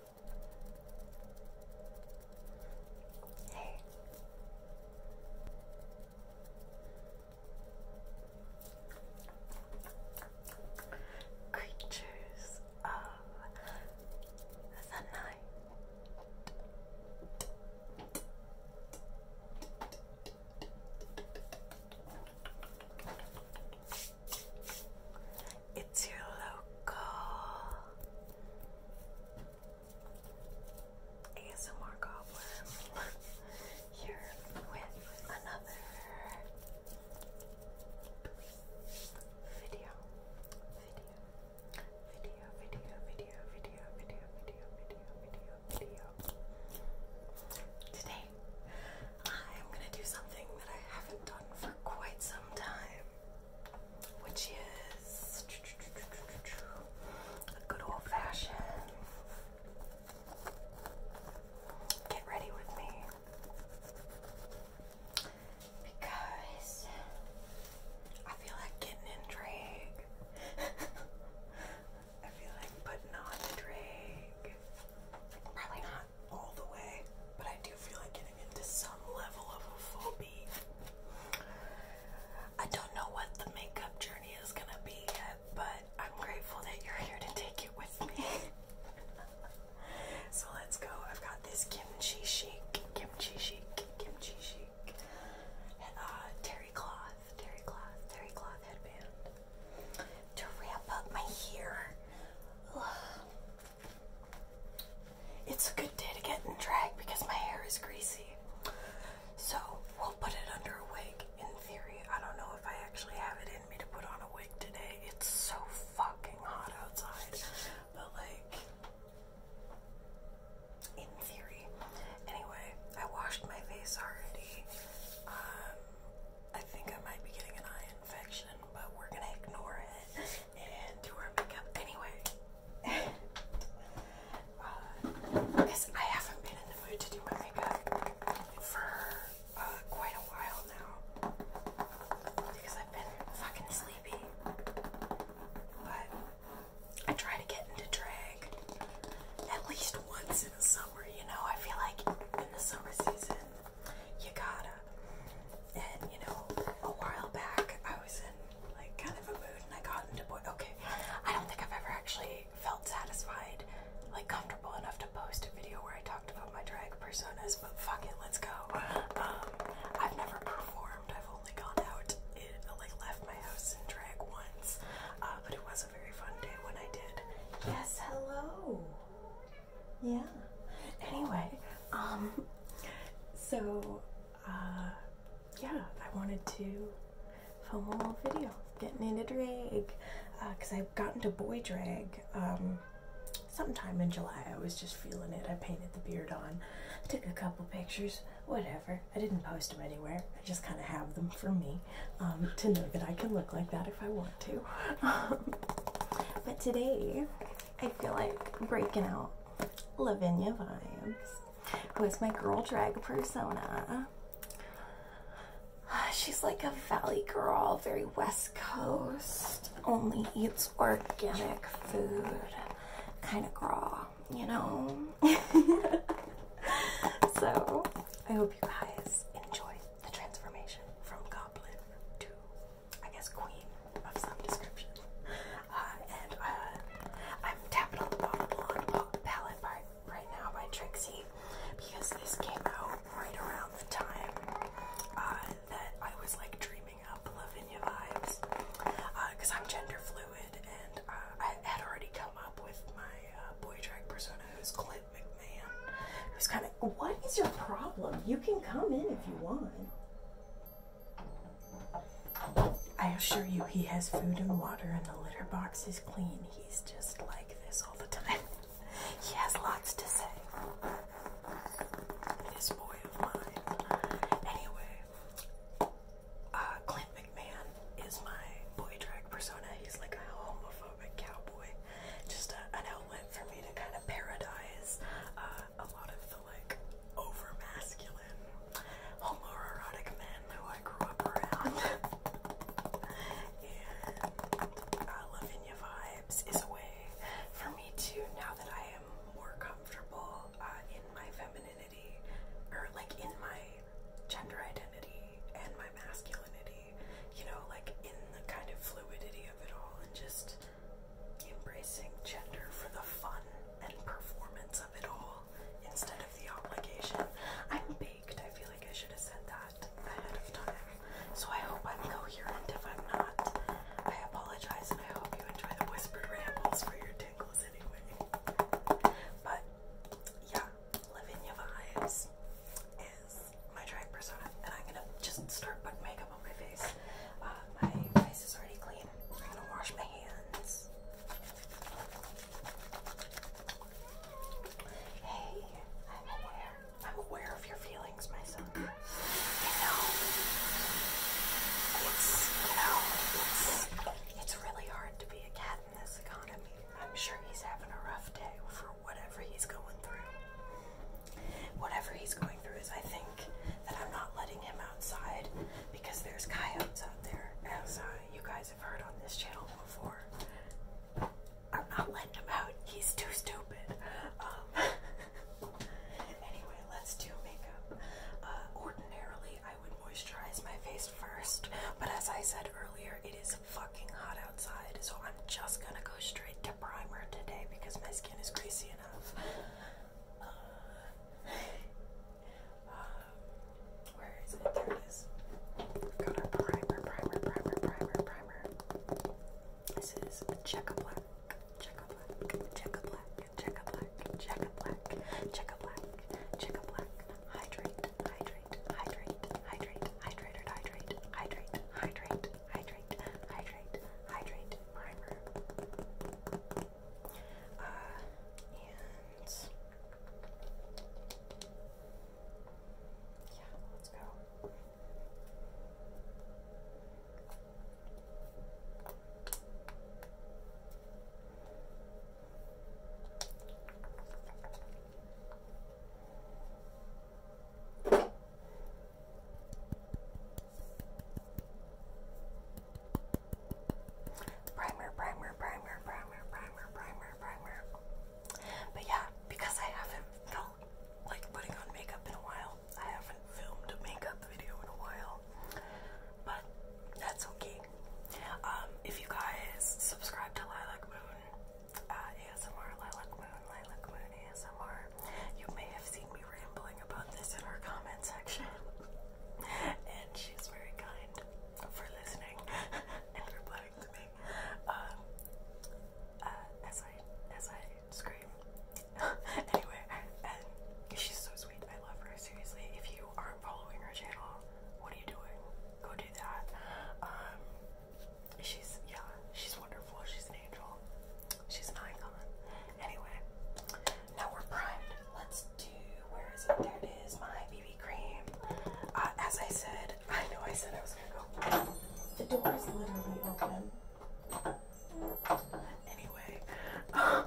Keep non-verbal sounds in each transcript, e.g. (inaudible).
Hey. Creatures of the night. It's your local ASMR Goblin here (laughs) with another video. Video, video, video, video, video, video, video, video, video, Today, I'm gonna do something that I haven't done for quite some time which is a good old fashioned. Get ready with me because I feel like getting in drag. (laughs) I feel like putting on drag. Probably not all the way, but I do feel like getting into some level of a full I don't know what the makeup journey is gonna be yet, but I'm grateful that you're here to take it with me. (laughs) so let's go. I've got this kimchi chic, kimchi chic, kimchi chic, uh, terry cloth, terry cloth, terry cloth headband to wrap up my hair. It's a good day to get in drag because my hair is greasy. So we'll put it under a wig in theory. I don't know if I actually have it in me to put on a wig today. It's so fucking hot outside. But like in theory. Anyway, I washed my face already. Um, I think I might be getting an eye infection, but we're gonna ignore it and do our makeup anyway. Because uh, I haven't been in the mood to do my makeup for uh, quite a while now. Because I've been fucking sleepy. But I try to get into drag at least once in the summer, you know? I feel like in the summer season, you gotta. And you know, a while back I was in like kind of a mood and I got into boy. Okay, I don't think I've ever actually felt satisfied, like comfortable enough to post a video where I talked about my drag personas. But fuck it, let's go. Um, I've never performed. I've only gone out, like left my house in drag once. Uh, but it was a very fun day when I did. Yes, hello. Yeah. Anyway, um, so, uh, yeah, I wanted to film a little video, getting into drag, because uh, i I've gotten to boy drag, um, sometime in July. I was just feeling it. I painted the beard on. took a couple pictures, whatever. I didn't post them anywhere. I just kind of have them for me um, to know that I can look like that if I want to. (laughs) Um, but today, I feel like breaking out Lavinia vibes. Who is my girl drag persona? She's like a valley girl, very west coast, only eats organic food kind of raw, you know? (laughs) so, I hope you guys enjoy the transformation from goblin to I guess, queen of some description. Uh, and uh, I'm tapping on the bottom the palette part right now by Trixie because this came out right around the time uh, that I was like dreaming up Lavinia vibes. Because I'm gender fluid and I had already come up with my boy drag persona who's Clint McMahon. Who's kind of. What is your problem? You can come in if you want. I assure you, he has food and water, and the litter box is clean. He's just like this all the time. (laughs) he has lots to say. This boy of mine. Anyway, uh, Clint McMahon is my boy drag persona. He's like a homophobic cowboy. Just an outlet for me to kind of parodize uh, a lot of the like over masculine homoerotic men who I grew up around. and uh, Lavinia Vibes is a way for me to, now that I am more comfortable uh, in my femininity, or like in my gender identity and my masculinity, you know, like in the kind of fluidity of it all, and just embracing gender for the fun and performance of it all instead of the obligation. I'm baked. I feel like I should have said that ahead of time. So I hope I'm coherent. If I'm not, I apologize and I hope you enjoy the whispered rambles for your tingles anyway. But yeah, Lavinia Vibes is my drag persona, and I'm gonna just start putting makeup my face. Uh, my face is already clean. I'm gonna wash my hands. Hey, I'm aware. I'm aware of your feelings, my son. know, it's you know, it's it's really hard to be a cat in this economy. I'm sure he's having a rough day for whatever he's going through whatever he's going through is I think that I'm not letting him outside because there's coyotes out there, as uh, you guys have heard on this channel before. I'm not letting him out. He's too stupid. Um, (laughs) anyway, let's do makeup. Uh, ordinarily, I would moisturize my face first, but as I said earlier, it is fucking hot outside, so I'm just gonna go straight to primer today because my skin is greasy enough. Uh, um, where is it? There it is. We've got our primer, primer, primer, primer, primer. This is Checka Black, Checka Black, Checka Black, Checka Black, Checka Black, Checka Black, Checka Black. Hydrate, hydrate, hydrate, hydrate, hydrate, hydrate, hydrate, hydrate, hydrate, hydrate, hydrate, hydrate primer. Uh, and yeah, let's go. Primer, primer, primer, primer, primer, primer, primer. But yeah, because I haven't felt like putting on makeup in a while, I haven't filmed a makeup video in a while. But that's okay. Um, if you guys subscribe to Lilac Moon, uh, ASMR Lilac Moon, Lilac Moon ASMR. You may have seen me rambling about this in our comment section. and she's very kind for listening (laughs) and replying to me. Um, uh, as I as I scream. (laughs) anyway, and she's so sweet. I love her. Seriously, if you aren't following her channel, what are you doing? Go do that. Um, she's yeah, she's wonderful. She's an angel. She's an icon. Anyway, now we're primed. Let's do, where is it? There it is, my BB cream. Uh, as I said, I know I said I was gonna go. The door is literally open. Anyway, um,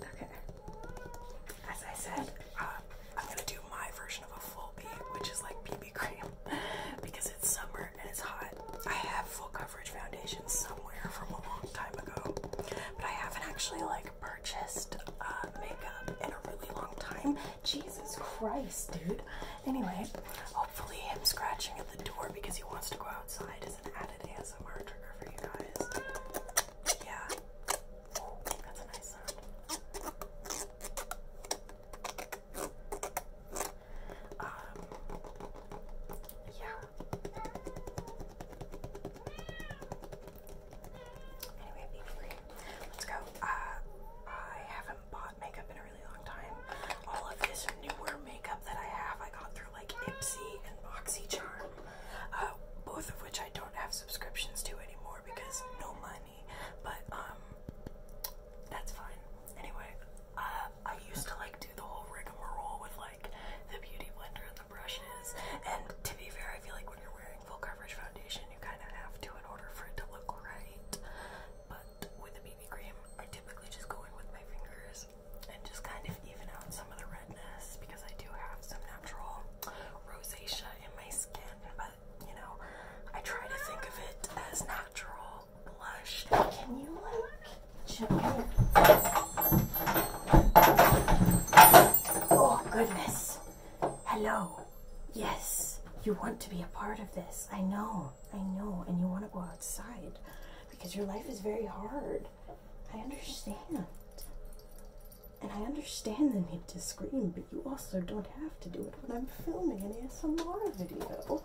okay. As I said, uh, I'm gonna do my version of a full BB, which is like BB cream, (laughs) because it's summer and it's hot. I have full coverage foundation somewhere from a long time ago, but I haven't actually like purchased uh, makeup in a really long time. Jesus Christ, dude. Anyway, hopefully him scratching at the door because he wants to go outside is an added ASMR trigger for you guys. Yeah. that's a nice sound. Um, yeah. Anyway, be free. Let's go. Uh, I haven't bought makeup in a really long time. All of this newer makeup that I have, I got through like Ipsy and BoxyCharm, uh, both of which I don't have subscriptions to anymore because no money. But um, that's fine. Anyway, uh, I used to like do the whole rigmarole with like the beauty blender and the brushes. And to be fair, I feel like when you're wearing full coverage foundation, you kind of have to in order for it to look right. But with the BB cream, I typically just go in with my fingers and just kind of even out some of the redness because I do have some natural rosacea in my skin. But you know, I try to think of it as natural blush. Can you like Oh goodness. Hello. Yes. You want to be a part of this. I know. I know. And you want to go outside because your life is very hard. I understand. And I understand the need to scream, but you also don't have to do it when I'm filming an ASMR video.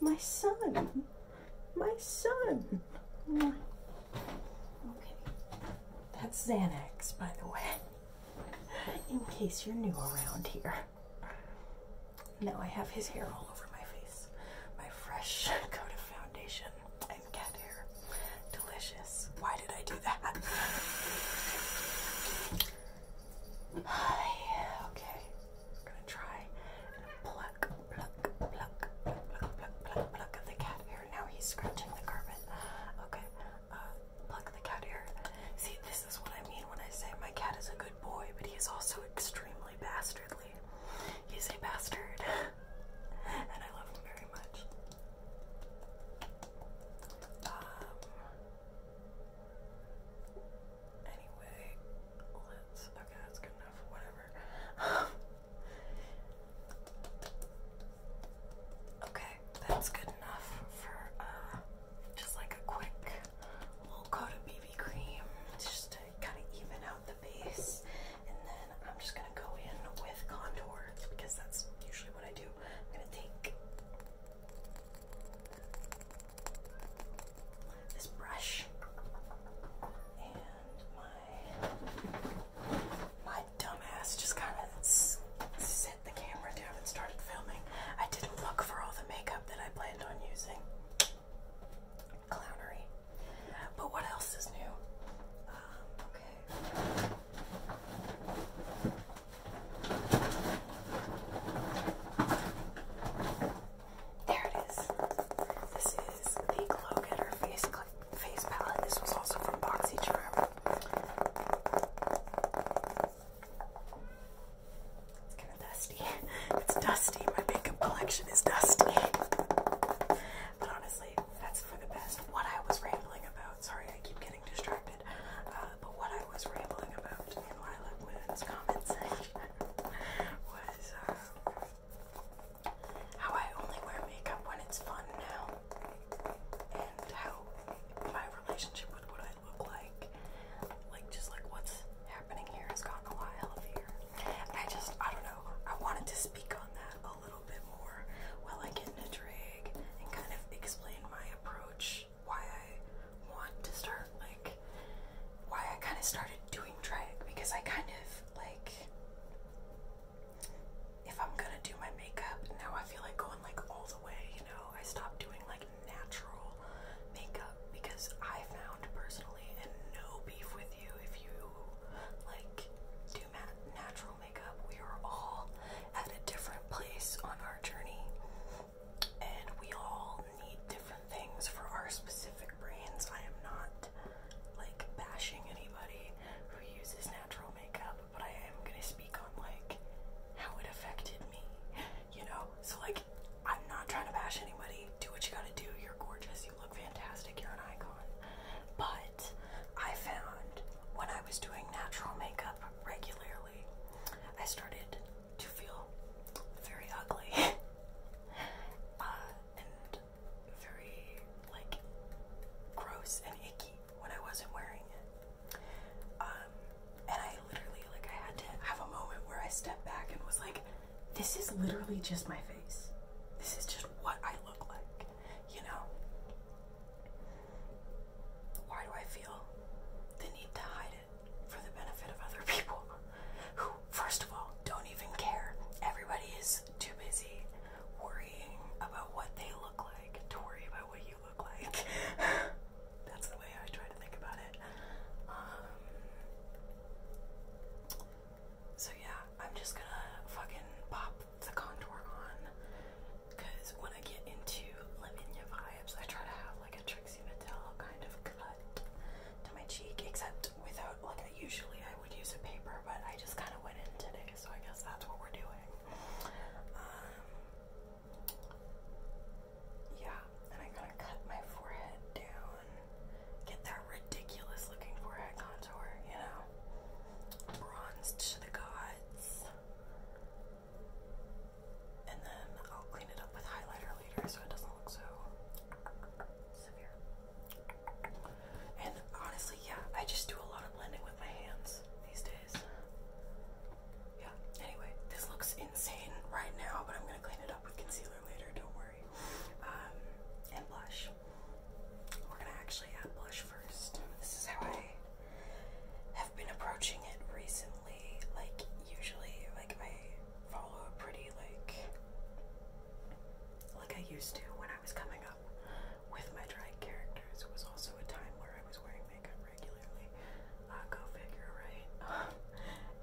My son, my son. Okay. That's Xanax, by the way, in case you're new around here. Now I have his hair all over my face. My fresh (laughs) coat of foundation and cat here. Delicious. Why did I do that? (sighs) okay. I'm gonna try and pluck, pluck, pluck, pluck, pluck, pluck, pluck the cat hair. Now he's scratching the carpet. Okay, uh, pluck the cat hair. See, this is what I mean when I say my cat is a good boy, but he is also extremely bastardly. He's a bastard, (laughs) and I love him very much. Um, Anyway, let's. Okay, that's good enough. Whatever. (laughs) okay, that's good enough for uh, just like a quick little coat of BB cream just to kind of even out the base. And then I'm just gonna go in with contour because that's usually what I do. I'm gonna take this brush and my my dumbass just kind of set the camera down and started filming. I didn't look for all the makeup that I planned on using. Clownery. But what else is new? Um, okay. There it is. This is the Glow Getter Face, face Palette. This was also from BoxyCharm. It's kind of dusty. (laughs) It's dusty. My makeup collection is dusty. But honestly, that's for the best. What I was rambling about, sorry, I keep getting distracted, uh, but what I was rambling about in Lilac Women's comments (laughs) was uh, how I only wear makeup when it's fun now, and how my relationship with what I look like, like just like what's happening here, has gotten a lot healthier. I just, I don't know, I wanted to speak on that a little bit more while I get in a drag and kind of explain my approach, why I want to start like why I kind of started doing drag because I kind of like if I'm gonna do my makeup now I feel like going like all the way, you know. I stopped doing like natural makeup because I found personally and no beef with you if you like do natural makeup. We are all at a different place on our journey and we all need different things for our specific brains. I am not like bashing anybody who uses natural makeup, but I am gonna speak on like how it affected me, you know? So, like, I'm not trying to bash anybody. Do what you gotta do. You're gorgeous. You look fantastic. You're an icon. But I found when I was doing natural makeup regularly, I started to feel very ugly. (laughs) Uh, and very like gross and icky when I wasn't wearing it. Um, and I literally like I had to have a moment where I stepped back and was like, this is literally just my face. This is just what I look like, you know. Why do I feel the need to hide it? for the benefit of other people who, first of all, don't even care. Everybody is too busy worrying about what they look like to worry about what you look like. (laughs) That's the way I try to think about it. Um, so, yeah, I'm just gonna fucking pop the contour on because when I get into Lavinia vibes, I try to have like a Trixie Mattel kind of cut to my cheek, except without, like, I usually I would use a paper, but I just kind of went in today, so I guess that's what we're doing. Um, yeah, and I'm going cut my forehead down, get that ridiculous looking forehead contour, you know, bronzed to the gods. And then I'll clean it up with highlighter later so it doesn't look so and honestly, yeah, I just do a lot of blending with my hands these days. Yeah, anyway, this looks insane right now, but I'm gonna clean it up with concealer later, don't worry. Um, and blush. We're gonna actually add blush first. This is how I have been approaching it recently. Like, usually, like, I follow a pretty, like, like I used to when I was coming up with my drag characters. It was also a time where I was wearing makeup regularly. Uh, go figure, right? (laughs)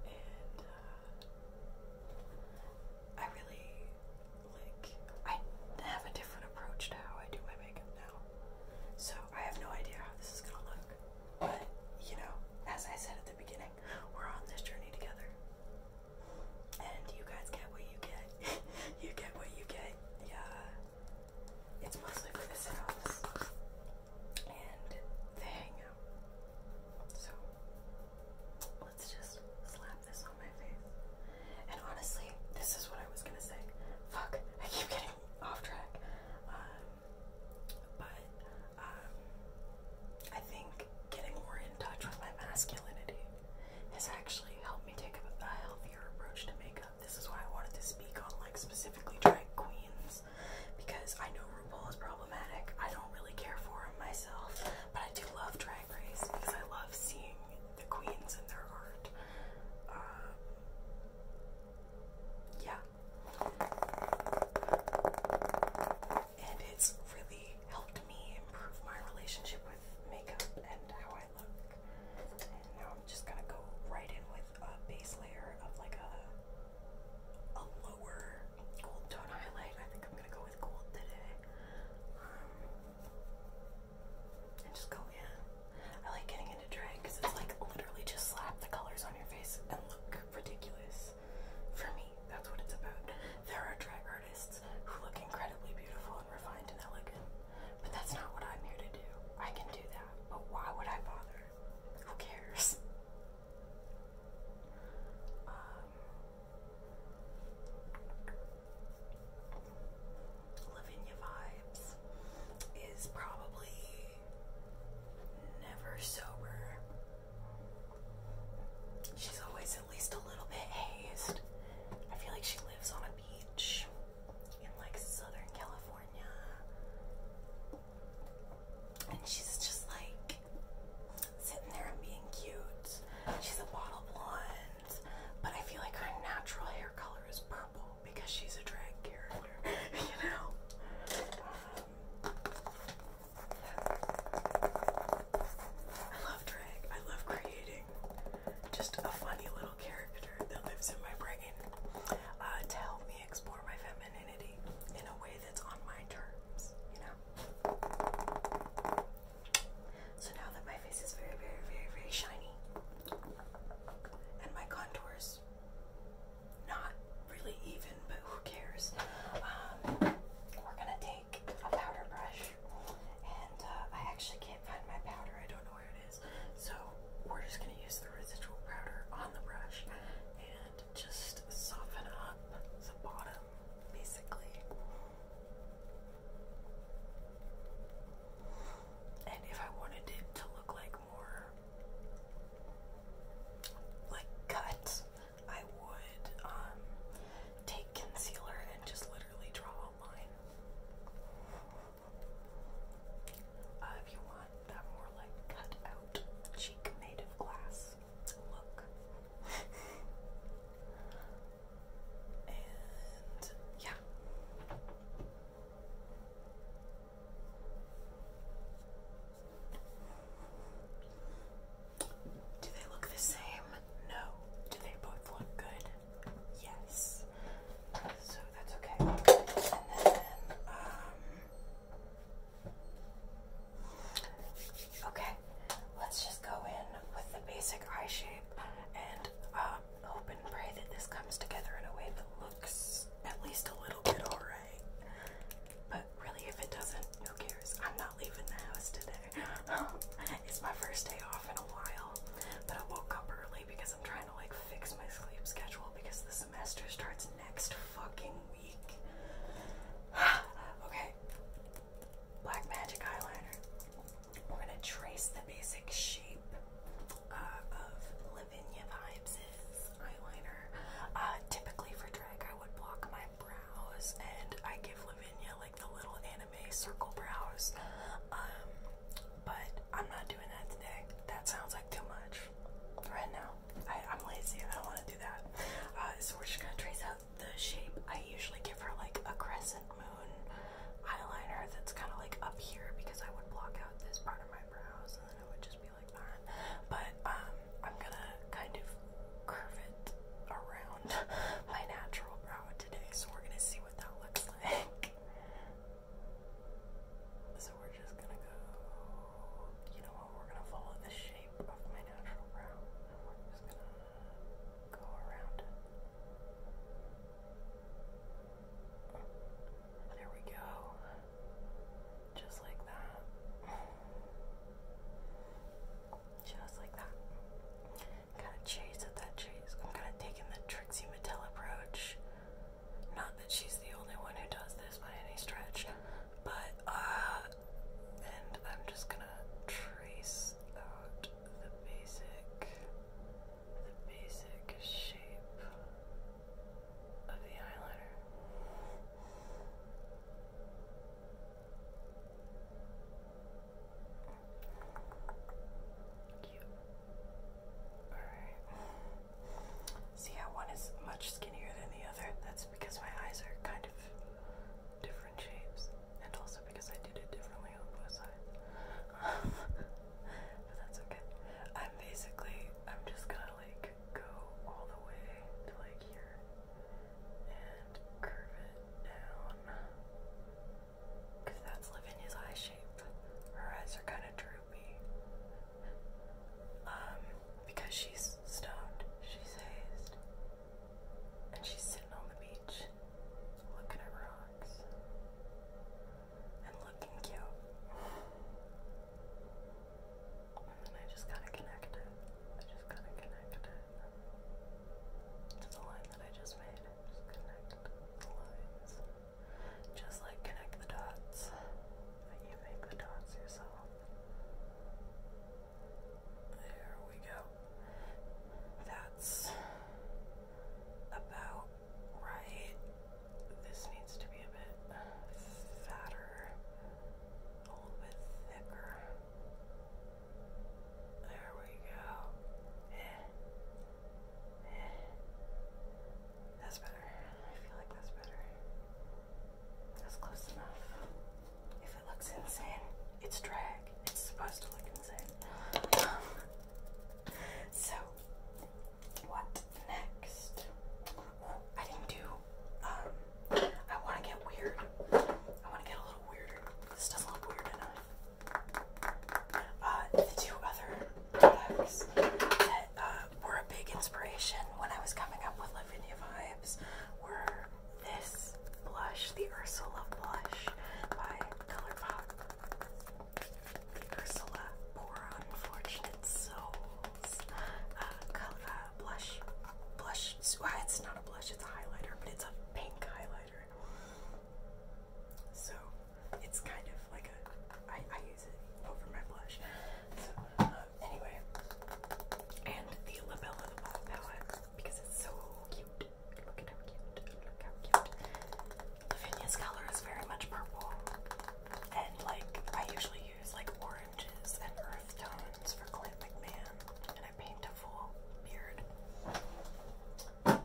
and uh, I really like. I have a different approach to how I do my makeup now, so I have no idea how this is gonna look. But you know, as I said at the beginning. We're on this journey together. And you guys get what you get. (laughs) you get what you get. Yeah. It's mostly for this house. And they hang out. So let's just slap this on my face. And honestly, this is what I was gonna say. Fuck, I keep getting off track. Um, but I think getting more in touch with my masculinity has actually helped me take a, a healthier approach to makeup. This is why I wanted to speak on like specifically drag queens because I know RuPaul is problematic. I don't really care for him myself, but I do love Drag Race because I love seeing the queens and their art. Um, yeah and it's really helped me improve my relationship with makeup and how I look. And now I'm just gonna go right in with a base layer of like a a lower gold tone highlight. I think I'm gonna go with gold today. Um, and just go in. I like getting into drag because it's like literally just slap the colors on your face and look ridiculous. For me, that's what it's about. There are drag artists who look incredibly beautiful and refined and elegant, but that's not what I'm here to do. I can do that, but why would I bother? Who cares? Um, Lavinia Vibes is probably never sober She's always at least a little bit hazed. I feel like she lives on a beach in like Southern California. And she's just like sitting there and being cute. She's a bottle blonde, but I feel like her natural hair color is purple because she's a drag character, (laughs) you know? Um, I love drag. I love creating just a funny little character that lives in my brain uh, to help me explore my femininity in a way that's on my terms, you know? So now that my face is very, very, very, very shiny and my contours not really even, but who cares? Um, we're gonna take a powder brush, and uh, I actually can't find my powder. I don't know where it is, so we're just gonna use the residual powder on the brush and just soften up the bottom, basically. And if I wanted it to look like more like cut, I would um, take concealer and just literally draw a line. Uh, if you want that more like cut cheek made of glass look. (laughs) and yeah. Do they look the same? No. Do they both look good? Yes. So that's okay. Um, okay, let's just go in with the basic eye shape and um, hope and pray that this comes together in a way that looks at least a little bit alright. But really, if it doesn't, who cares? I'm not leaving the house today. (laughs) it's my first day off in a while, but I woke up early because I'm trying to like fix my sleep schedule because the semester starts next fucking week. (sighs) okay, black magic eyeliner. We're gonna trace the basic shape uh, of Lavinia Vibes' eyeliner. Uh, typically for drag I would block my brows and I give Lavinia like the little anime circle brows. Um, but I'm not doing that today. That sounds like too much right now. I, am lazy. I don't want to do that. Uh, so we're just gonna trace out the shape. I usually give her like a crescent moon eyeliner that's kind of like up here because I would block out this part of my brows and then it would just be like that. But um, I'm gonna kind of curve it around (laughs) my natural brow today, so we're gonna see what that looks (laughs) like. So we're just gonna go, you know what, we're gonna follow the shape of my natural brow, and we're just gonna go around it. There we go. Just like that. Just like that. Gotta chase at that chase. I'm kind of taking the Trixie Mattel approach. Not that she's the only one who does this by any stretch, but, uh, and I'm just gonna trace out the basic, the basic shape of the eyeliner. See how one is much skinnier than the other? That's because my eyes are kind of different shapes. And also because I did it differently on both sides. (laughs) but that's okay. I'm basically, I'm just gonna like go all the way to like here and curve it down. Because that's Lavinia's eye shape. Her eyes are kind of droopy. Um, because she's stoned, she's hazed, and she's sitting on the beach looking at rocks and looking cute and I just gotta connect it. I just gotta connect it to the line that I just made. Just connect the lines. Just like connect the dots. But you make the dots yourself. There we go. That's about right. This needs to be a bit fatter, a little bit thicker. There we go. Eh. Eh. That's better. I feel like that's better. That's close enough. If it looks insane, it's drag. It's supposed to look insane. Um, so, what next? I didn't do um, I want to get weird. I want to get a little weirder. This doesn't look weird enough. Uh, the two other products that uh, were a big inspiration when I was coming up with Lavinia Vibes were this blush, the Ursula blush by Color The Ursula Poor Unfortunate Souls uh, blush. Blush. it's not a blush, it's a highlighter, but it's a pink highlighter. So it's kind of like a. I, I use it over my blush. So, uh, anyway. And the Labella the Ball palette because it's so cute. Look at how cute. Look how cute. Lavinia's color is very much purple. And like, I usually use like oranges and earth tones for Clint McMahon. And I paint them beautiful um,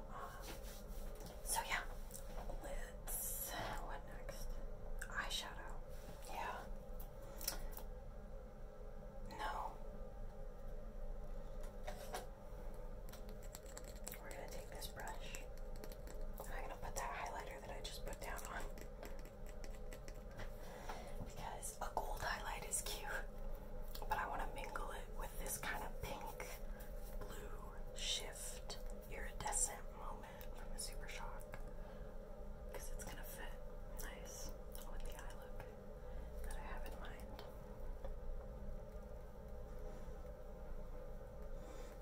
so yeah, let What next? Eyeshadow. Yeah. No. We're gonna take this brush I'm gonna put that highlighter that I just put down on because a gold highlight is cute, but I want to mingle it with this kind of pink blue shift iridescent moment from the Super Shock because it's gonna fit nice with the eye look that I have in mind.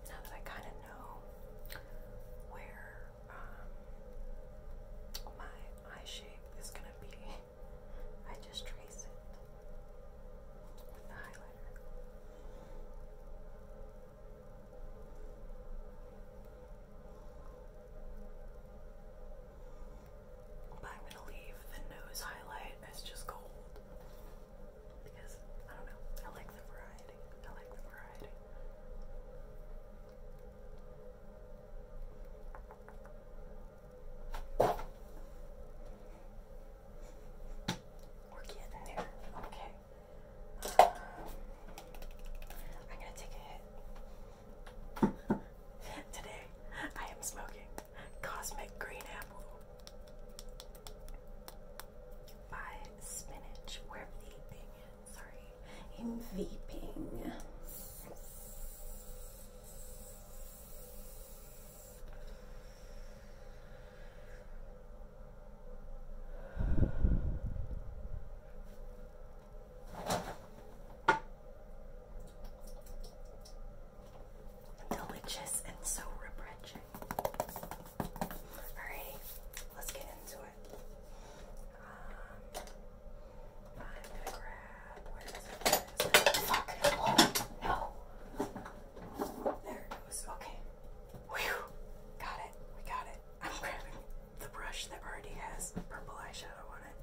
Now that I kind of know where um, my my shape is going to be. I just trace it with the highlighter. But I'm going to leave the nose highlight as just gold because I don't know. I like the variety. I like the variety. We're getting there. Okay. Um, I'm gonna take a hit. (laughs) Today, I am smoking Cosmic Green Apple by Spinach, wherever the thing is am vaping. Delicious and so refreshing. All right, let's get into it. Um, I'm gonna grab. Fuck! no! There it was. Okay. Whew! Got it. We got it. I'm grabbing the brush that already has purple eyeshadow on it.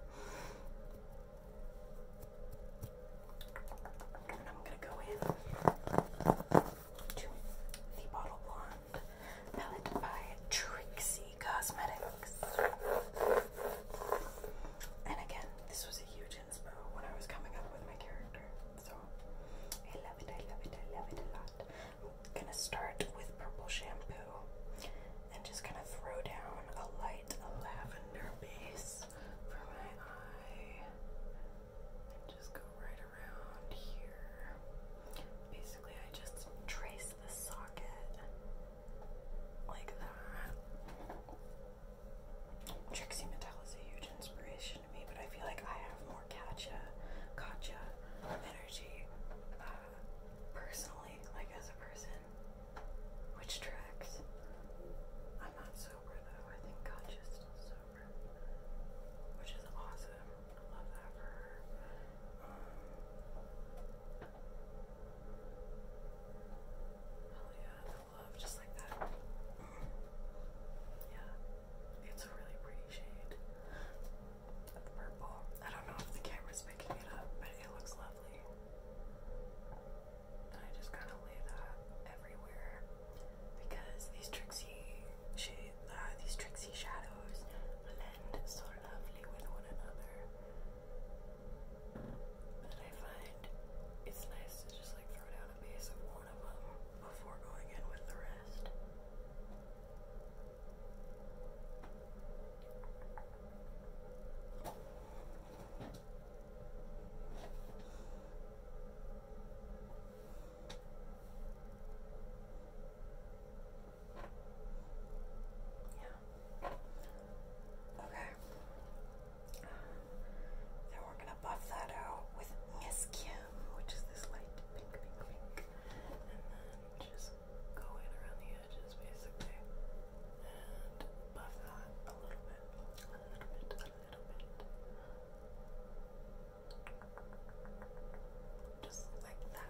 And I'm gonna go in to the Bottle Blonde palette by Trixie Cosmetics. And again, this was a huge inspo when I was coming up with my character. So I love it, I love it, I love it a lot. I'm gonna start with purple shampoo and just kind of throw down a light lavender base for my eye. And just go right around here. Basically, I just trace the socket like that. Trixie Mattel is a huge inspiration to me, but I feel like I have more catcha, gotcha energy uh, personally, like as a person, which tracks. I'm not sober though, I think gotcha's still sober, which is awesome. love that for her. Um, Oh yeah, the love just like that. yeah, it's a really pretty shade of purple. I don't know if the camera's picking it up, but it looks lovely. And I just kind of lay that everywhere because these Trixie shade, uh, these Trixie shadows blend so lovely with one another. And I find it's nice to just like throw down a piece of one of them before going in with the rest. Yeah. Okay. Um, we're gonna buff that out with Miskin, which is this light pink, pink, pink, and then just go in around the edges basically and buff that a little bit, a little bit, a little bit. Just like that.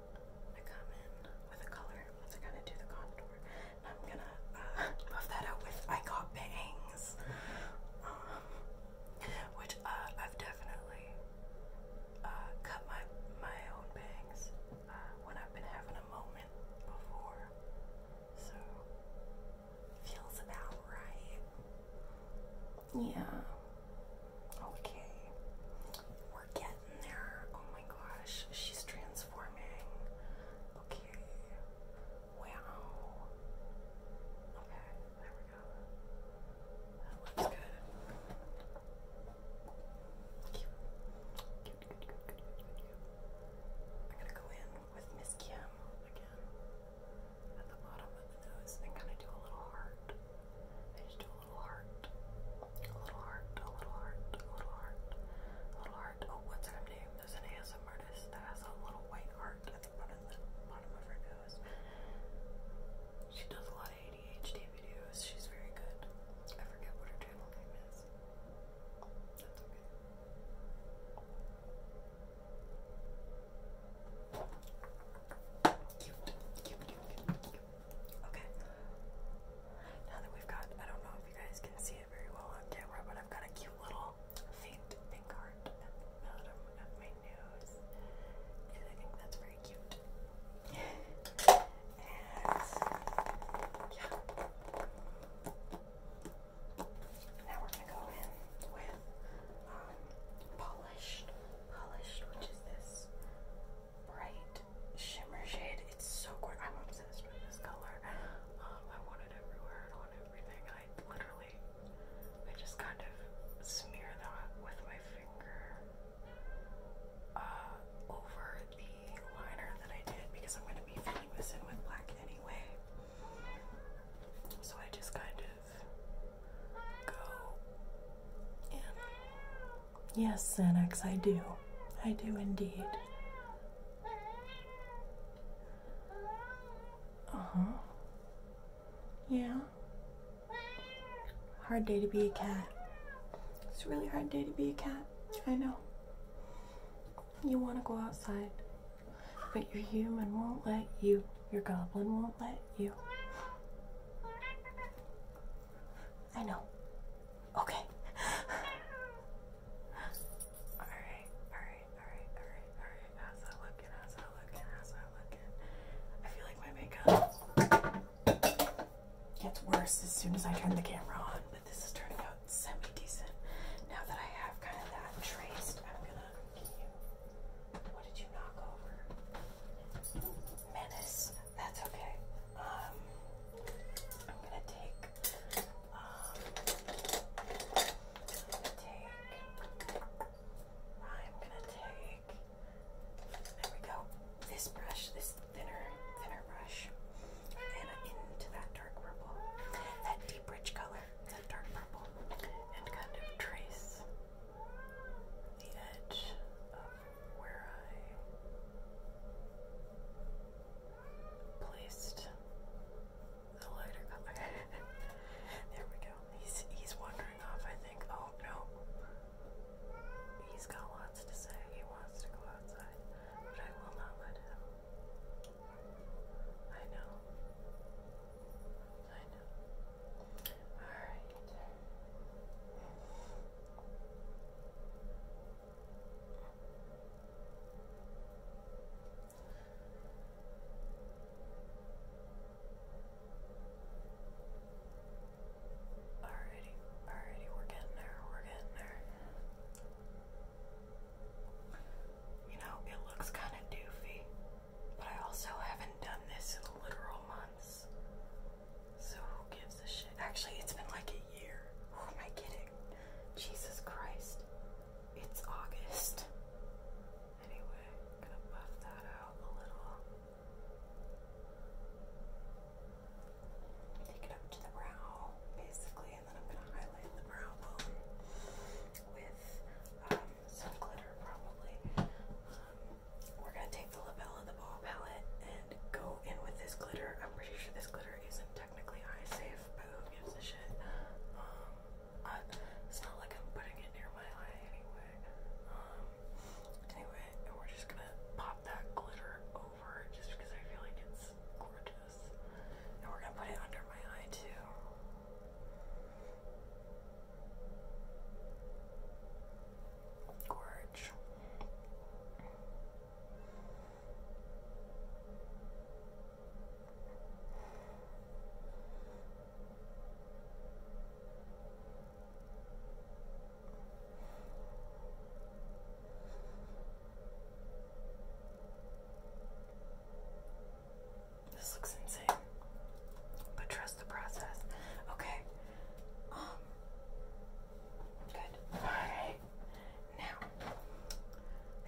I come in with a color. I'm gonna do the contour. I'm gonna buff uh, (laughs) that out with I Got Bangs, um, which uh, I've definitely uh, cut my my own bangs when I've been having a moment before. So feels about right. Yeah. Okay getting there. Oh my gosh, she's transforming. Okay. Wow. Okay, there we go. That looks good. I'm gonna go in with Miss Kim again at the bottom of the nose and kind of do a little heart little heart, a little heart, a little heart, a little heart, a little heart. Oh, what's her name? There's an ASM artist that has a little white heart at the bottom of, her nose. She does a lot of ADHD videos. She's very good. I forget what her channel name is. That's okay. Okay. Now that we've got, I don't know if you guys can see it very well on camera, but I've got a cute little faint pink heart at the bottom my nose. And I think that's very cute. and yeah. Now we're gonna go in with um, polished, polished, which is this bright shimmer shade. It's so gorgeous. I'm obsessed with this color. Um, I want it everywhere and on everything. I literally, I just kind of smear that with my finger uh, over the liner that I did because I'm going to be filling this in with black anyway. So I just kind of go in Yes, Xanax, I do. I do indeed. Uh huh. Yeah. Hard day to be a cat. It's a really hard day to be a cat. I know. You want to go outside, but your human won't let you. Your goblin won't let you. I know. Okay. alright, alright, alright, alright, alright. How's that looking? How's that looking? How's that looking? I feel like my makeup gets worse as soon as I turn the camera on, but this is turning out semi decent. Now that I have kind of that traced, I'm gonna. What did you knock over? Menace. That's okay. Um, I'm gonna take. I'm um, gonna take. I'm gonna take. There we go. This brush, this thinner, thinner brush, and into that dark purple, that deep rich color, that dark purple, and kind of trace the edge where I placed the lighter (laughs) there we go. He's he's wandering off, I think. Oh no. He's got lots to say. He wants to go outside. But I will not let him. I know. I know. Alright. Alrighty, alrighty, we're getting there, we're getting there. You know, it looks kind of doofy, but I also haven't done this in literal months. So who gives a shit? Actually, it's been like a year. Who am I Jesus Christ. It's August. Anyway, gonna buff that out a little. Take it up to the brow, basically, and then I'm gonna highlight the brow bone with um, some glitter, probably. Um, we're gonna take the label of the ball palette go in with this glitter. I'm pretty sure this glitter isn't technically eye safe, but who gives a shit? Um, it's not like I'm putting it near my eye anyway. Um, anyway, and we're just gonna pop that glitter over just because I feel like it's gorgeous. And we're gonna put it under my eye too. Gorge. This looks insane, but trust the process. Okay. Um, good. All right. Now,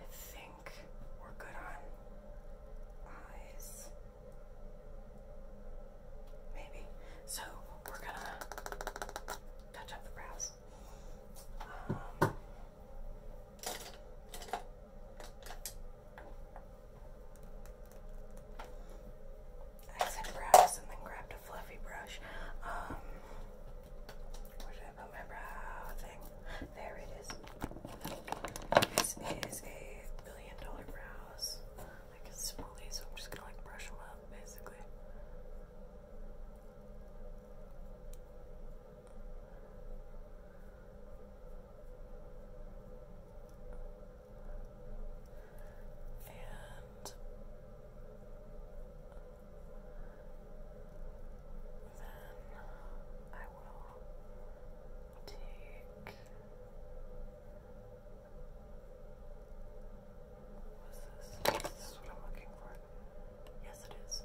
I think we're good on eyes. Maybe. So, we're gonna touch up the brows. Um, I said brows and then grabbed fluffy brush. Um, where did I put my brow thing? There it is. This is a billion dollar brows. I can spoolie, so I'm just gonna like brush them up basically. And then I will take. What's this? Is what I'm looking for? Yes, it is.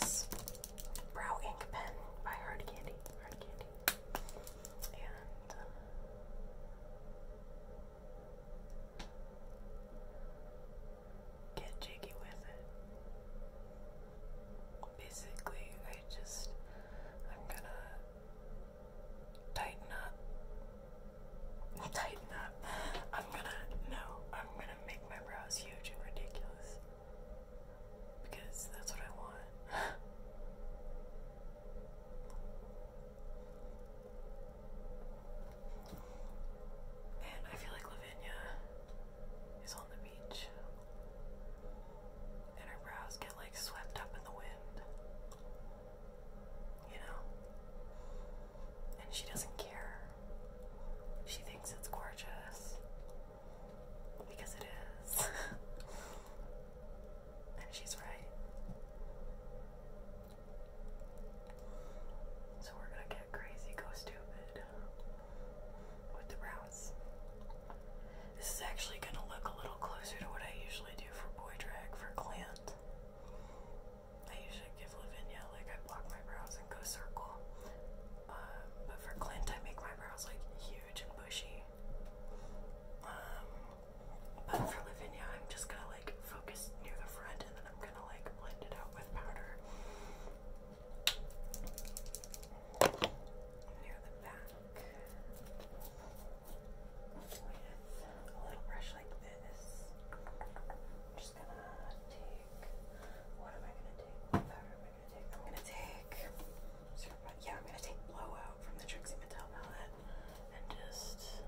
This brow ink pen Hard Candy. Hard Candy. And. Um, get jiggy with it. Basically, I just, I'm gonna tighten up. (laughs) Tighten up. I'm gonna, no, I'm gonna make my brows huge and ridiculous. Because that's what I want. (laughs) And I feel like Lavinia is on the beach. And her brows get like swept up in the wind. You know? And she doesn't care. She thinks it's gorgeous. Because it is. (laughs) and she's right. So we're gonna get crazy, go stupid with the routes. This is actually gonna look a little closer to what I usually do for boy drag for Clint. I usually give Lavinia like I block my brows and go circle. Um, but for Clint I make my brows like huge and bushy. Um, but for Lavinia I'm just gonna like focus near the front and then I'm gonna like blend it out with powder near the back with a little brush like this. just gonna take what am I gonna take? What am I gonna take? I'm gonna take yeah, I'm gonna take blowout from the Trixie Mattel palette and just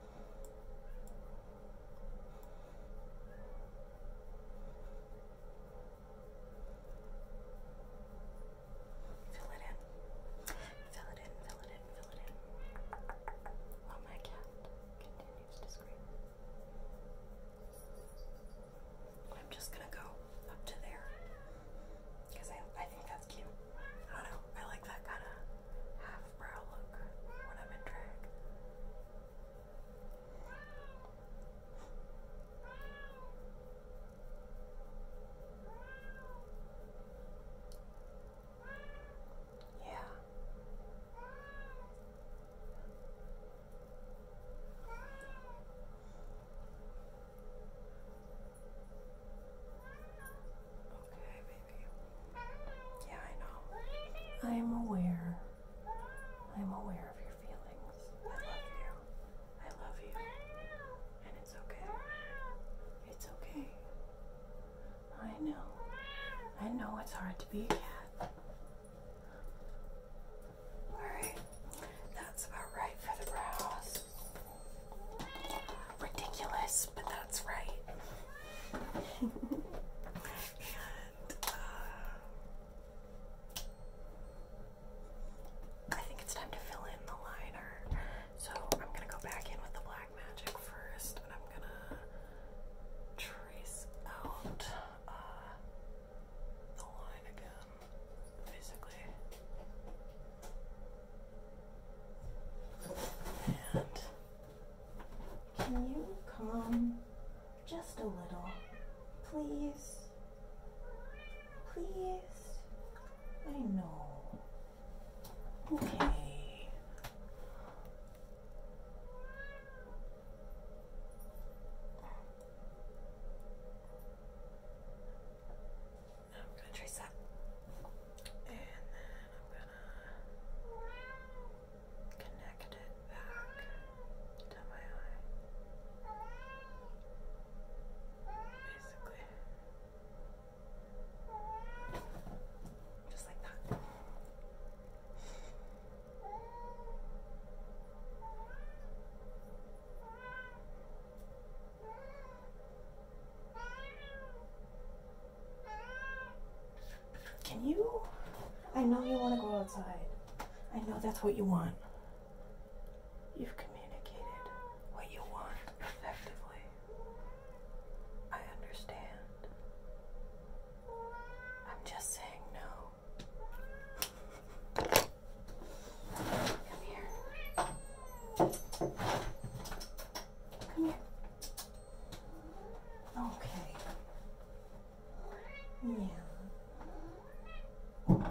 Fill it in. Fill it in, fill it in, fill it in. While my cat continues to scream. I'm just gonna go up to there. Because I, I think that's cute. I don't know. I like that kind of half brow look when I'm in drag. Yeah. Okay, yeah, I know. I am aware. I am aware of your feelings. I love you. I love you. And it's okay. It's okay. I know. I know it's hard to be a cat. Alright. That's about right for the brows. Ridiculous, but that's right. Uh, I think it's time to fill in the liner. So I'm gonna go back in with the black magic first, and I'm gonna trace out uh, the line again, basically. And can you calm just a little? Please? Please? I know. Okay. I'm gonna trace that. And then I'm gonna connect it back to my eye. Basically. Just like that. Can you? I know you want to go outside. I know that's what you want. You've communicated what you want effectively. I understand. I'm just saying no. Come here. Come here. Okay. Yeah. Okay.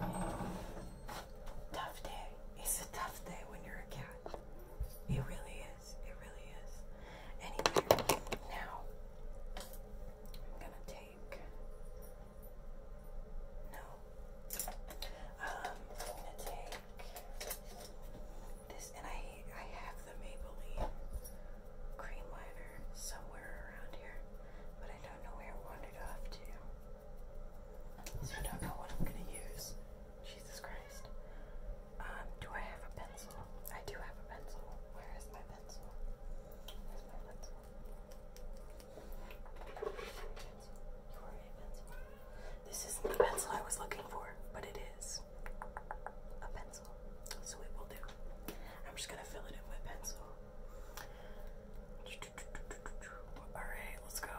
Tough day. It's a tough day when you're a cat. It really is. It really is. Anyway, now I'm gonna take. No. Um, I'm gonna take this and I I have the Maybelline cream liner somewhere around here, but I don't know where it wandered off to. So I don't what I'm gonna use. Jesus Christ. Um, do I have a pencil? I do have a pencil. Where is my pencil? Where's my pencil? Pencil. pencil. This isn't the pencil I was looking for, but it is a pencil. So it will do. I'm just gonna fill it in with pencil. Alright, let's go.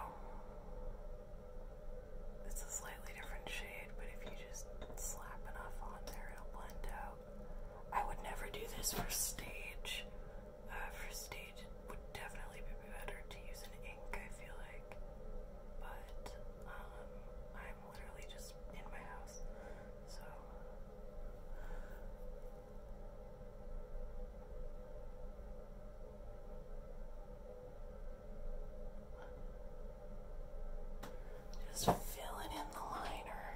It's a slightly different shade, but if you just slap enough on there, it'll blend out. I would never do this for stage. Uh, for stage, would definitely be better to use an ink, I feel like. But, um, I'm literally just just in my filling in the liner.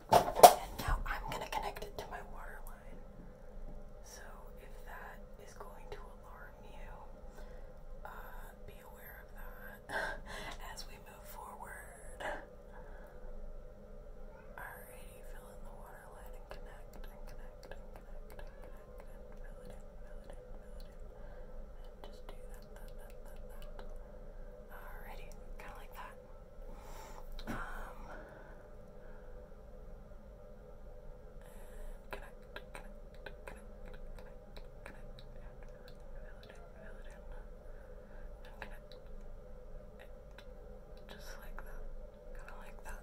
now I'm gonna connect it to my water line. So if that is going to alarm you, uh, be aware of that (laughs) as we move forward. Alrighty, fill in the water line and connect and connect and connect and connect and fill it in, just do that, that, that, that, that. Alrighty, kinda like that. Um, connect, connect, connect, connect, connect, and fill it in, fill it in, and connect just like that, kind of like that.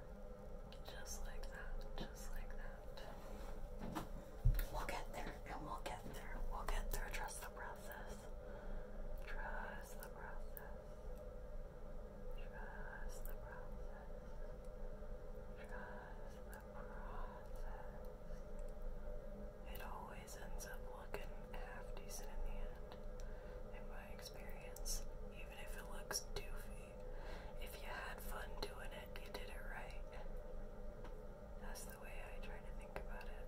just like that, just like that. We'll get there, and we'll get there. We'll get there. Trust the process. Trust the process. Trust the process. Trust the process. It always ends up looking half decent in the end, in my experience, even if it looks doofy. If you had fun doing it, you did it right. That's the way I try to think about it.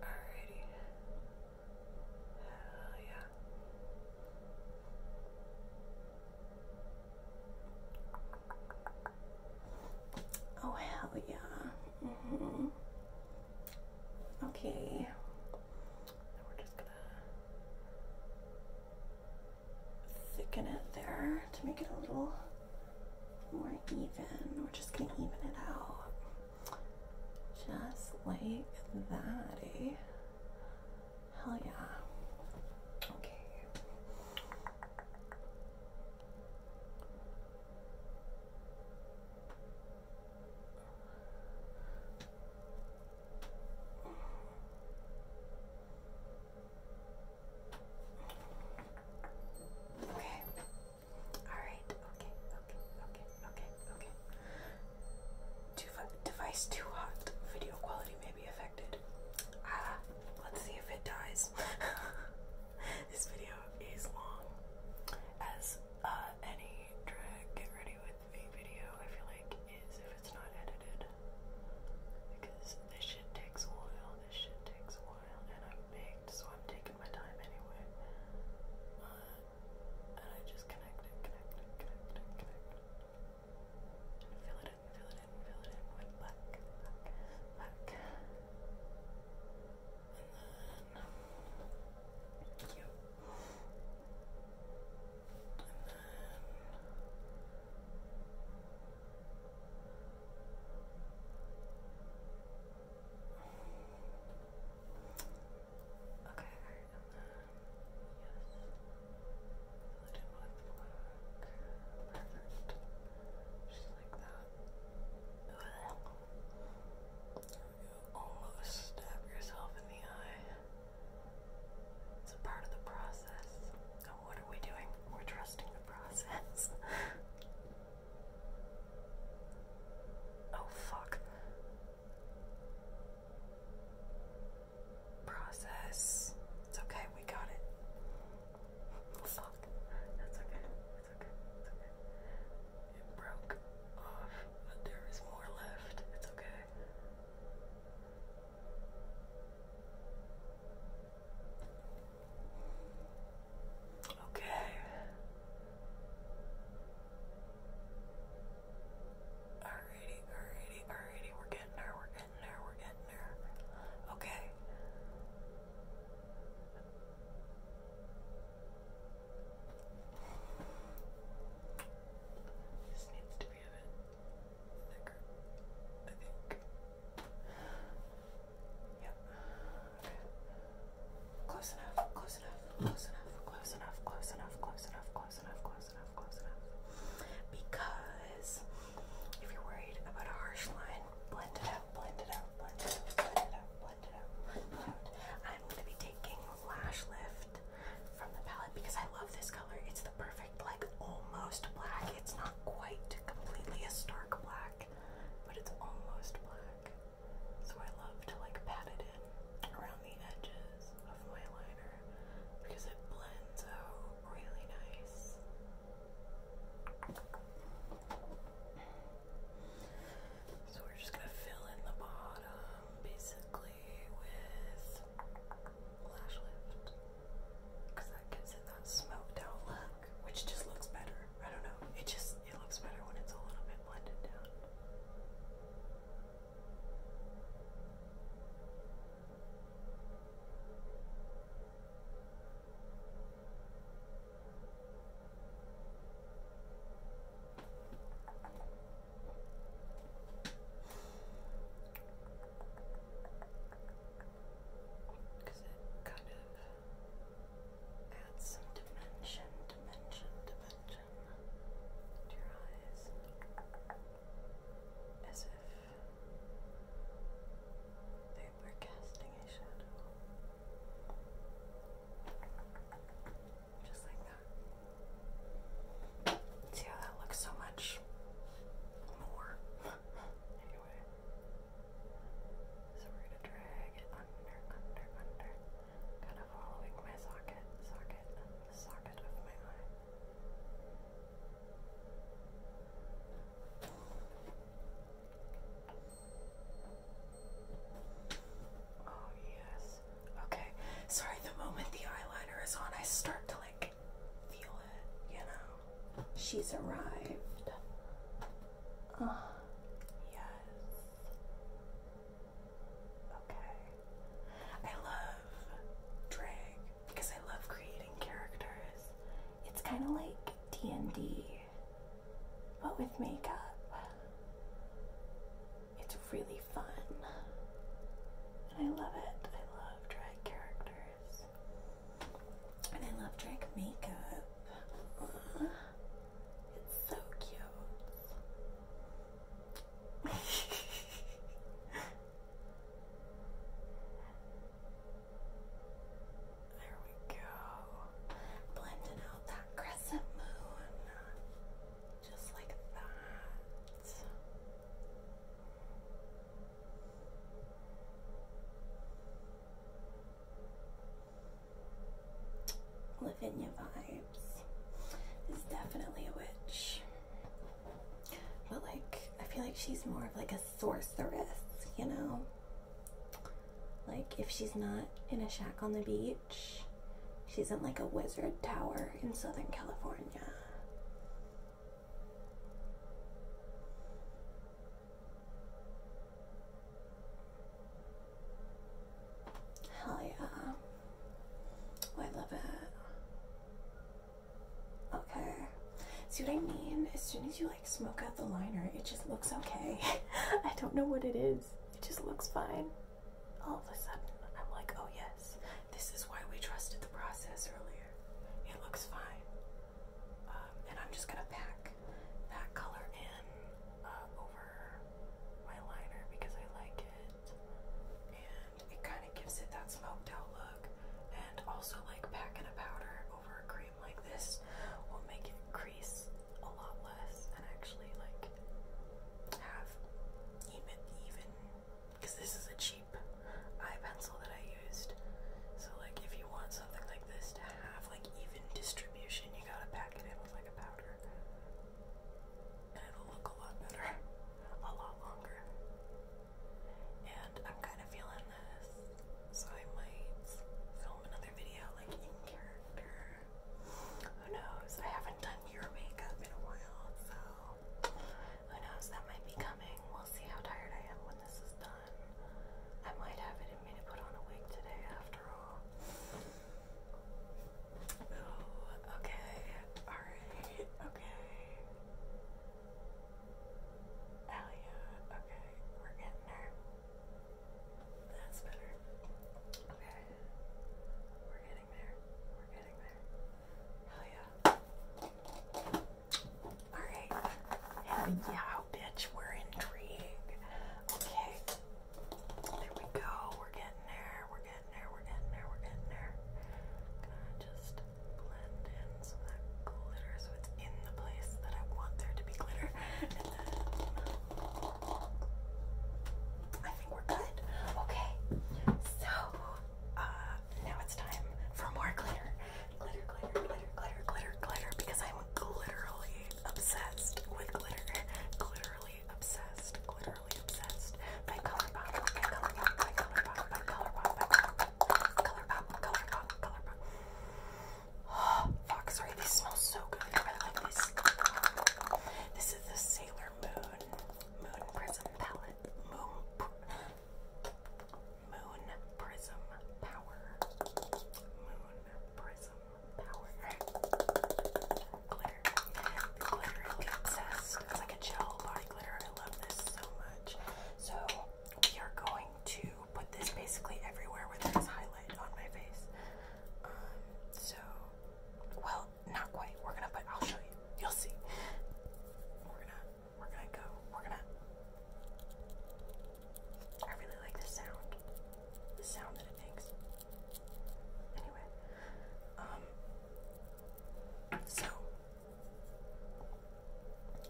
Alrighty. Hell yeah. Oh, hell yeah. Mm -hmm. Okay we're just gonna thicken it there to make it a little more even. We're just gonna even it out. Just like that, eh? Hell yeah. Okay. Okay. All right. Okay. Okay. Okay. Okay. Okay. Devi device too hot. Video quality may be affected. Ah, let's see if it dies. (laughs) this video is long as uh, any drag get ready with me video. I feel like is it's not edited. Because this shit takes a while, this shit takes a while, and I'm baked, so I'm taking my time anyway. Uh, and I just connect it, connect connect connect And fill it in, fill it in, fill it in with black, black, And then, you then... Okay, and then... Yes. Let it with Perfect. Just like that. You almost stab yourself in the eye. It's a part of the process. And what are we doing? We're trusting the process. (laughs) oh, fuck. Process. It's okay, we got it. (laughs) Fuck. That's okay. It broke off, there is more left. It's okay. Okay. Alrighty, alrighty, alrighty. We're getting there, we're getting there, we're getting there. Okay. This needs to we have it in that group, I think. Yep. Okay. Close enough, close enough, close enough, close enough, close enough, close enough, close enough, close enough, close enough. Because if you're worried about a harsh line, blend it out, blend it out, blend it out, blend it out, blend it out, blend it out. I'm going to be taking lash lift from the palette because I love this color. It's the perfect, like almost black. It's not quite completely a stark black, but it's almost black. So I love to like pat it in around the edges of my liner because it blends out really nice. So we're just gonna fill in the bottom basically with lash lift because that gives it that smoked out look, which just looks better. I don't know. It just it looks better when it's a little bit blended down. Because it kind of adds some dimension, dimension, dimension to your eyes. As if they were casting a shadow. Just like See how that looks so much more. (laughs) anyway. So we're gonna drag it under, under, under. Kind of following my socket, socket, socket of my eye. Oh yes. Okay. Sorry, the moment the eyeliner is on, I start to like feel it, you know. She's arrived. Uh, yes. Okay. I love drag because I love creating characters. It's kind of like D&D, but with makeup. It's really fun. And I love it. I love drag characters. And I love drag makeup. it's so cute. (laughs) there we go. Blending out that crescent moon. Just like that. Lavinia vibes is definitely a witch. But like, I feel like she's more of like a sorceress, you know? Like, if she's not in a shack on the beach, she's in like a wizard tower in Southern California. Hell yeah. Oh, I love it. Okay. See what I mean? As soon as you like smoke out the liner, it just looks okay. (laughs) I don't know what it is. It just looks fine. All of a sudden, I'm like, oh yes, this is why we trusted the process earlier. It looks fine. Um, and I'm just gonna pack that color in uh, over my liner because I like it. And it kind of gives it that smoked out look. And also like packing a powder over a cream like this will make it crease a lot less and actually like have even even because this is a cheap eye pencil that I used. So like if you want something like this to have like even distribution, you gotta pack it in with like a powder. And it'll look a lot better. (laughs) A lot longer. And I'm kinda feeling this. So I might film another video like in character. Who knows? I haven't done your makeup in a while, so who knows? That might be coming. We'll see how tired I am when this is done. I might have it in me to put on a wig today after all. Ooh, okay. Alright. Okay. Hell yeah. Okay. We're getting there. That's better. Okay. We're getting there. We're getting there. Hell yeah ya. Alright. Hell yeah, bitch, we're intrigued. Okay. There we go. We're getting there. We're getting there. We're getting there. We're getting there. Gonna just blend in so that glitter so it's in the place that I want there to be glitter. And then I think we're good. Okay. So uh, now it's time for more glitter. Glitter, glitter, glitter, glitter, glitter, glitter, because I'm literally obsessed with glitter. Literally obsessed, literally obsessed by ColourPop, by ColourPop, by ColourPop, by ColourPop, by ColourPop, ColourPop, ColourPop, ColourPop. (gasps) Oh, fuck, sorry, these smell so good. I really like these. This is the Sailor Moon Moon Prism palette. Moon Moon Prism Power. Moon Prism Power. Glitter. glitter obsessed. It's like a gel body glitter. I love this so much. So we are going to put this basically everywhere where there's highlight on my face. Um, so, well, not quite. We're gonna, but I'll show you. You'll see. We're gonna, we're gonna go. We're gonna. I really like the sound. The sound that it makes. Anyway, um, so,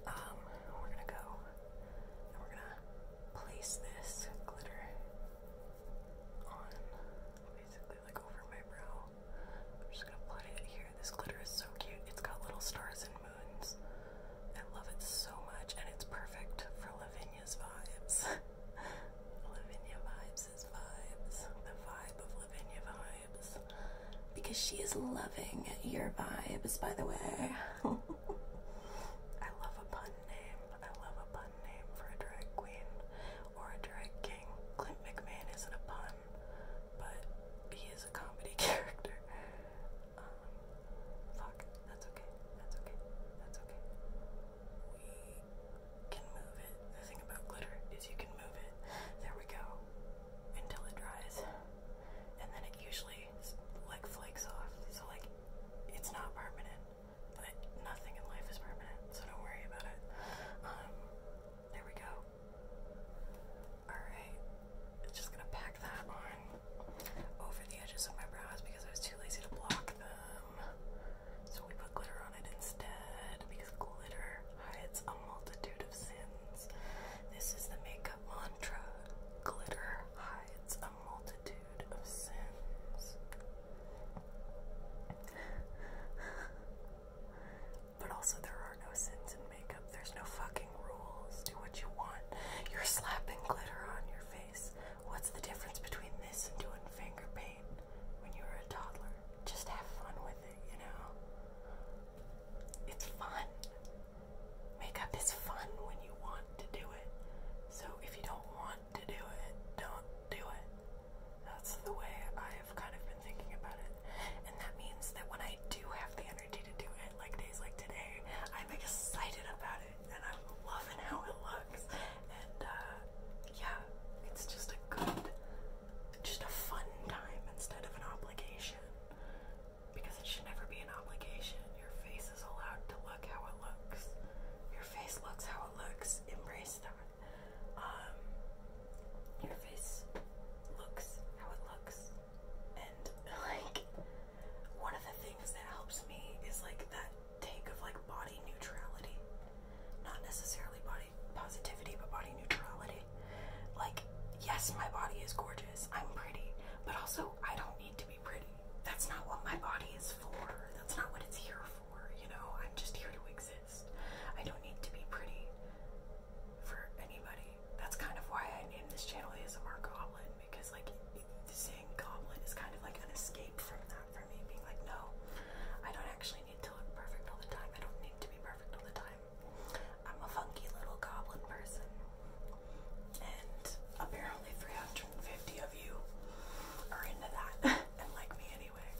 um, we're gonna go and we're gonna place this glitter on basically like over my brow. I'm just gonna put it here. This glitter is so cute. It's got little stars and moons. I love it so much, and it's perfect for Lavinia's vibes. (laughs) Lavinia vibes is vibes. The vibe of Lavinia vibes. Because she is loving your vibes, by the way. (laughs) I love a pun name. I love a pun name for a drag queen or a drag king. Clint McMahon isn't a pun but he is a comedy (laughs) character. Um, fuck, that's okay, that's okay, that's okay. We can move it. The thing about glitter is you can move it. There we go. Until it dries. And then it usually like flakes off. So like it's not permanent. But nothing in life is permanent, so don't worry about it. Um there we go. Alright, just gonna pack that on over the edges of my brows because I was too lazy to block them. So we put glitter on it instead because glitter hides a multitude of sins. This is the makeup mantra glitter hides a multitude of sins. But also, there are no sins in makeup. There's no fucking rules. Do what you want. You're slapping glitter on your face. What's the difference between this and doing finger paint when you were a toddler? Just have fun with it, you know? It's fun. Makeup is fun when you want to do it. So if you don't want to do it, don't do it. That's the way I have kind of been thinking about it. And that means that when I do have the energy to do it, like days like today, I'm excited about it and I'm loving how it looks. And uh, yeah, it's just a good, just a fun time instead of an obligation. Because it should never be an obligation. Your face is allowed to look how it looks. Your face looks how it looks. Embrace that um, your face looks how it looks. And like one of the things that helps me is like that take of like body neutrality. Not necessarily body positivity, but body neutrality. Like, yes, my body is gorgeous. I'm pretty. But also, I don't need to be pretty. That's not what my body is for. That's not what it's here for. You know, I'm just here to exist. I don't need to be pretty for anybody. That's kind of why I named this channel is a Mark Goblin because, like, saying goblin is kind of like an escape from that for me. Being like, no, I don't actually need to look perfect all the time. I don't need to be perfect all the time. I'm a funky little goblin person, and apparently 350 of you are into that (laughs) and like me anyway.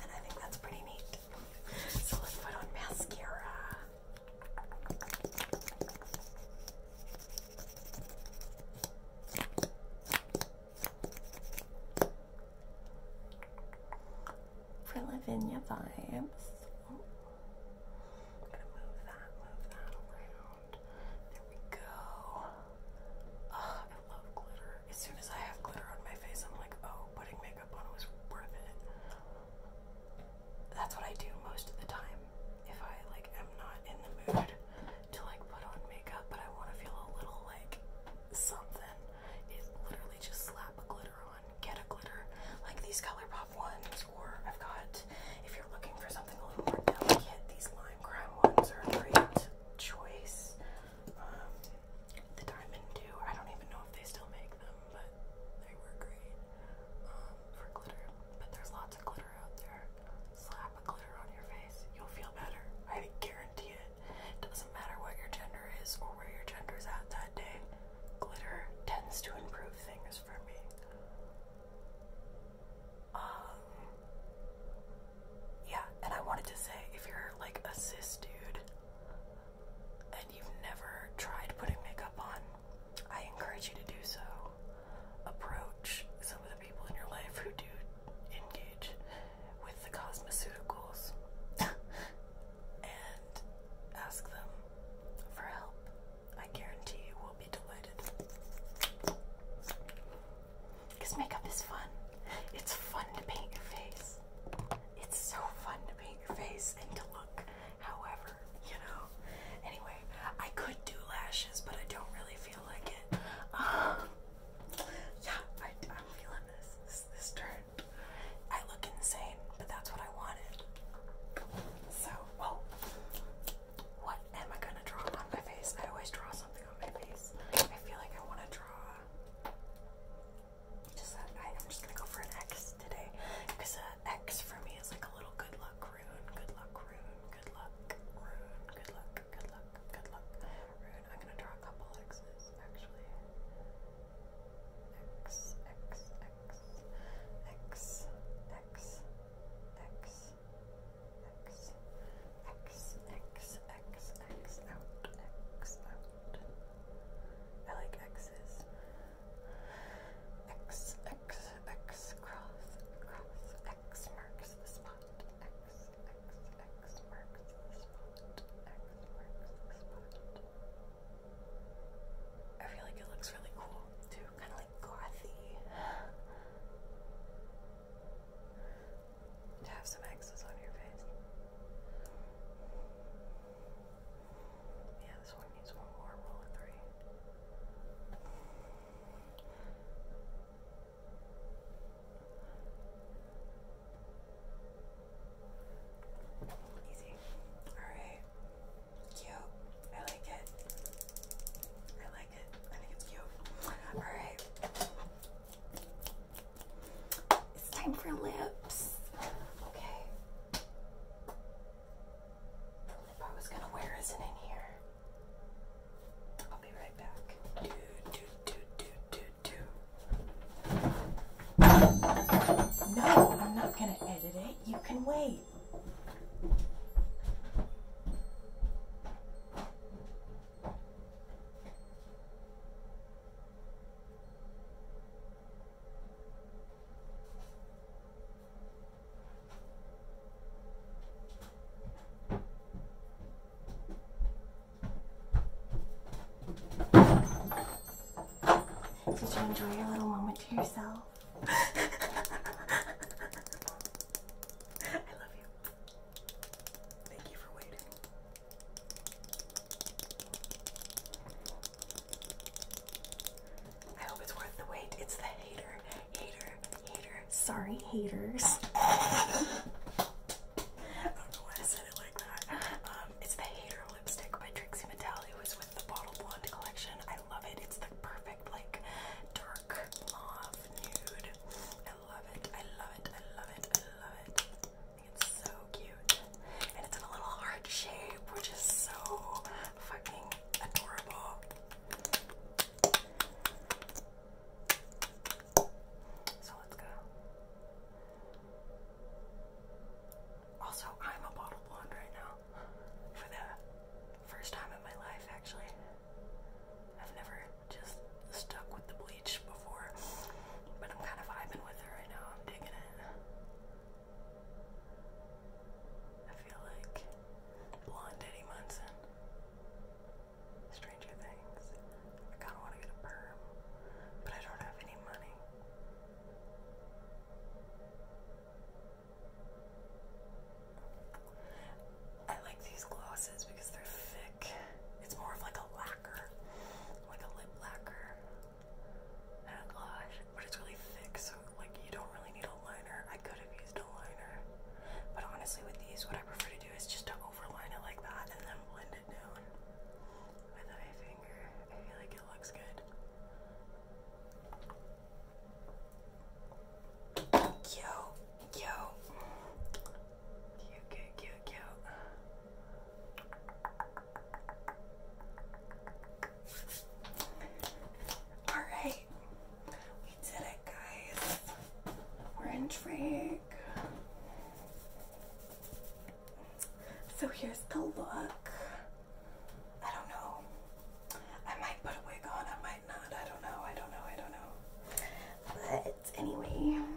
And I think that's pretty neat. So let's put on mascara. For Lavinia vibes. I'm gonna move that, move that around. There we go. Oh, I love glitter. As soon as I have glitter on my face, I'm like, oh, putting makeup on was worth it. That's what I do most of the time. If I like am not in the mood to like put on makeup, but I want to feel a little like something, is literally just slap a glitter on, get a glitter, like these color pop ones, or I've got if you're looking for something a little more delicate, these lime crime ones are a great choice. Um, the Diamond Dew, I don't even know if they still make them, but they were great um, for glitter. But there's lots of glitter out there. Slap a glitter on your face, you'll feel better. I guarantee it. doesn't matter what your gender is or where your gender is at that day. Glitter tends to improve things for me. Um, yeah, and I wanted to say if you're like a cis dude and you've never tried putting makeup on, I encourage you to do so. Approach some of the people in your life who do engage with the cosmeceuticals (laughs) and ask them for help. I guarantee you will be delighted. Because makeup is fun. It's fun to paint your face. It's so fun to paint your face and to look however, you know. Anyway, I could do lashes, but I don't really feel like it. Uh, yeah, I, am feeling this, this, this turn. I look insane, but that's what I wanted. So, well, what am I gonna draw on my face? I always draw something on my face. I feel like I want to draw just that uh, I, I'm just gonna go for an X today because uh, X for me is like a little good luck rune, good luck rune, good luck rune, good luck, good luck, good luck rune. I'm gonna draw a couple X's actually. X, X, X, X, X, X, X, X. X, X, X, X out, X out. I like X's. X, X, X cross, cross, X marks the spot. X, X, X marks the spot. X marks the spot. I feel like it looks really cool too, kind of like gothy to have some X's on your face. Yeah, this one needs one more roll of three. Easy. Alright. Cute. I like it. I like it. I think it's cute. Alright. It's time for lips. Okay. The I was gonna wear isn't in here. I'll be right back. Do, do, do, do, do, do. No, I'm not gonna edit it. You can wait. Did you enjoy your little moment to yourself? (laughs) I love you. Thank you for waiting. I hope it's worth the wait. It's the hater, hater, hater. Sorry, haters. (laughs) I don't know why I said it like that. Um, it's the Hater lipstick by Trixie Mattel. It was with the Bottle Blonde collection. I love it. It's the perfect, like, dark mauve nude. I love it. I love it. I love it. I love it. It's so cute. And it's in a little heart shape, which is so fucking adorable. So let's go. Also, I'm a bottle blonde right now. For the first time in my life, actually. I've never just stuck with the bleach before, but I'm kind of vibing with it right now. I'm digging it. I feel like blonde Munson. Stranger Things. I kind of want to get a perm, but I don't have any money. I like these gloss because they're thick. It's more of like a lacquer, like a lip lacquer and a gloss, but it's really thick, so like you don't really need a liner. I could have used a liner, but honestly, with these, what I prefer to do is just to overline it like that and then blend it down with my finger. I feel like it looks good. Yo, Cute, cute, cute, cute. All right, we did it, guys. We're intrigued. So here's the look. I don't know. I might put a wig on, I might not. I don't know. I don't know. I don't know. But anyway.